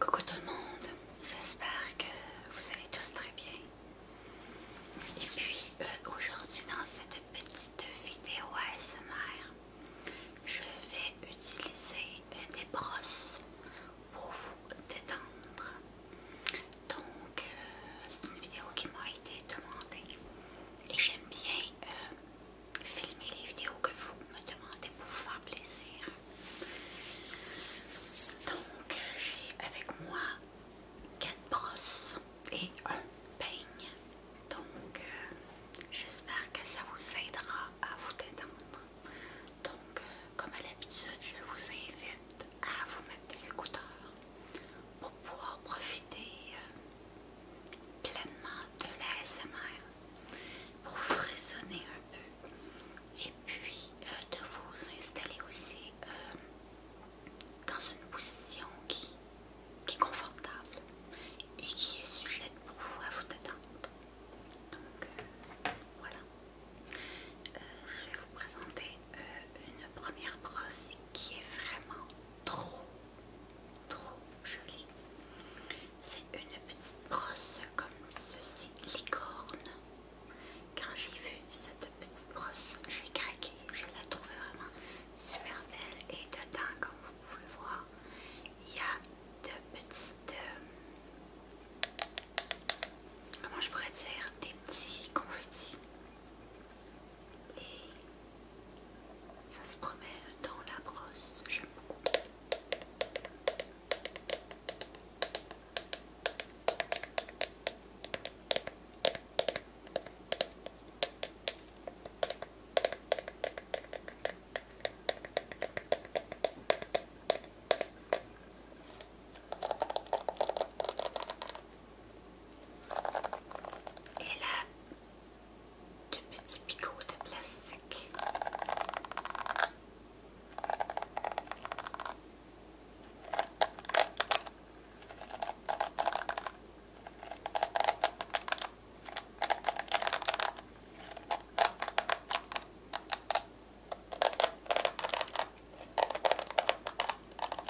Coucou tout le monde, j'espère que vous allez tous très bien. Et puis euh, aujourd'hui dans cette petite vidéo ASMR, je vais utiliser des brosses pour vous détendre. Donc euh, c'est une vidéo qui m'a été demandée et j'aime bien euh, filmer les vidéos que vous me demandez pour vous faire plaisir. Donc, j'ai avec moi quatre brosses et un peigne. Donc, euh, j'espère que ça vous aidera à vous détendre. Donc, euh, comme à l'habitude, je vous invite à vous mettre des écouteurs pour pouvoir profiter euh, pleinement de la SMR pour vous raisonner un peu et puis euh, de vous installer aussi euh, dans une position qui, qui est confortable et qui est sujette pour vous à vous détendre. Donc euh, voilà. je vais vous présenter une première brosse qui est vraiment trop, trop jolie. C'est une petite brosse comme ceci, licorne. Quand j'ai vu cette petite brosse, j'ai craqué. Je la trouvais vraiment super belle. Et dedans, comme vous pouvez voir, il y a de petites... Euh, comment je pourrais dire Des petits confettis et ça se promène dans la brosse, et là, de petits picots de plastique.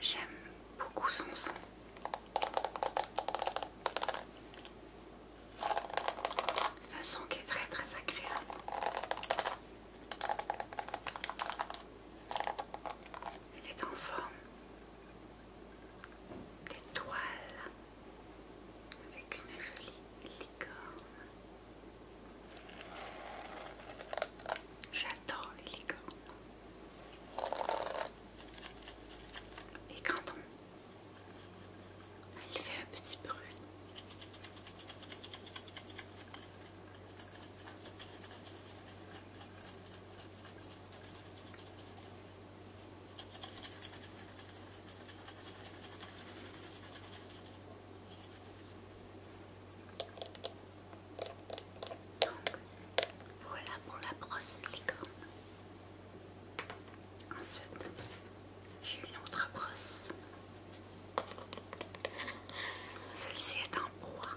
J'aime beaucoup son son. C'est un son qui est très très agréable. Il est en forme d'étoile avec une jolie licorne. J'adore les licornes. Et quand on... Elle fait un petit bruit voilà pour la brosse licorne. Ensuite, j'ai une autre brosse. Celle-ci est en bois.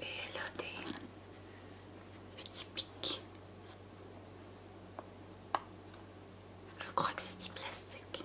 Et là des petits pics. Je crois que c'est du plastique.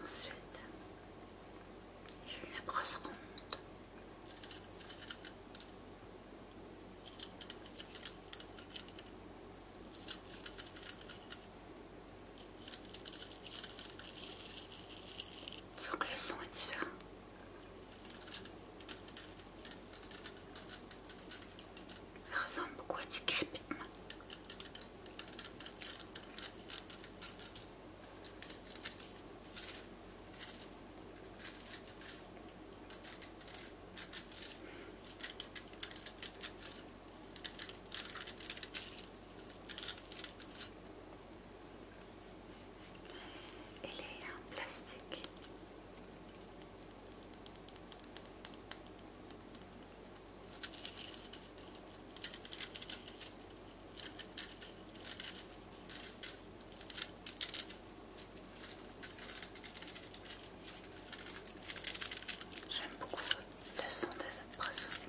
Ensuite, j'ai une brosse ronde. Je que son Ça ressemble beaucoup à du crépitement. Il est en plastique. J'aime beaucoup le son de cette brosse aussi.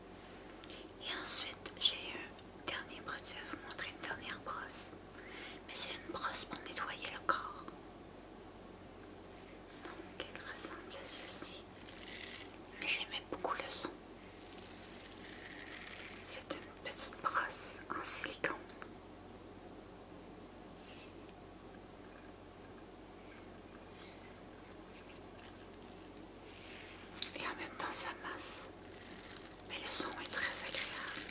Et ensuite, j'ai un dernier Je vais vous montrer, une dernière brosse. Mais c'est une brosse pour nettoyer le corps. Donc, elle ressemble à ceci. Mais j'aimais beaucoup le son. C'est une petite brosse en silicone. Et en même temps, ça masse. Mais le son est très agréable.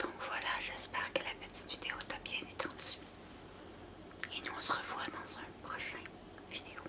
Donc voilà, j'espère que la petite vidéo t'a bien étendu. Et nous on se revoit dans un prochain vidéo.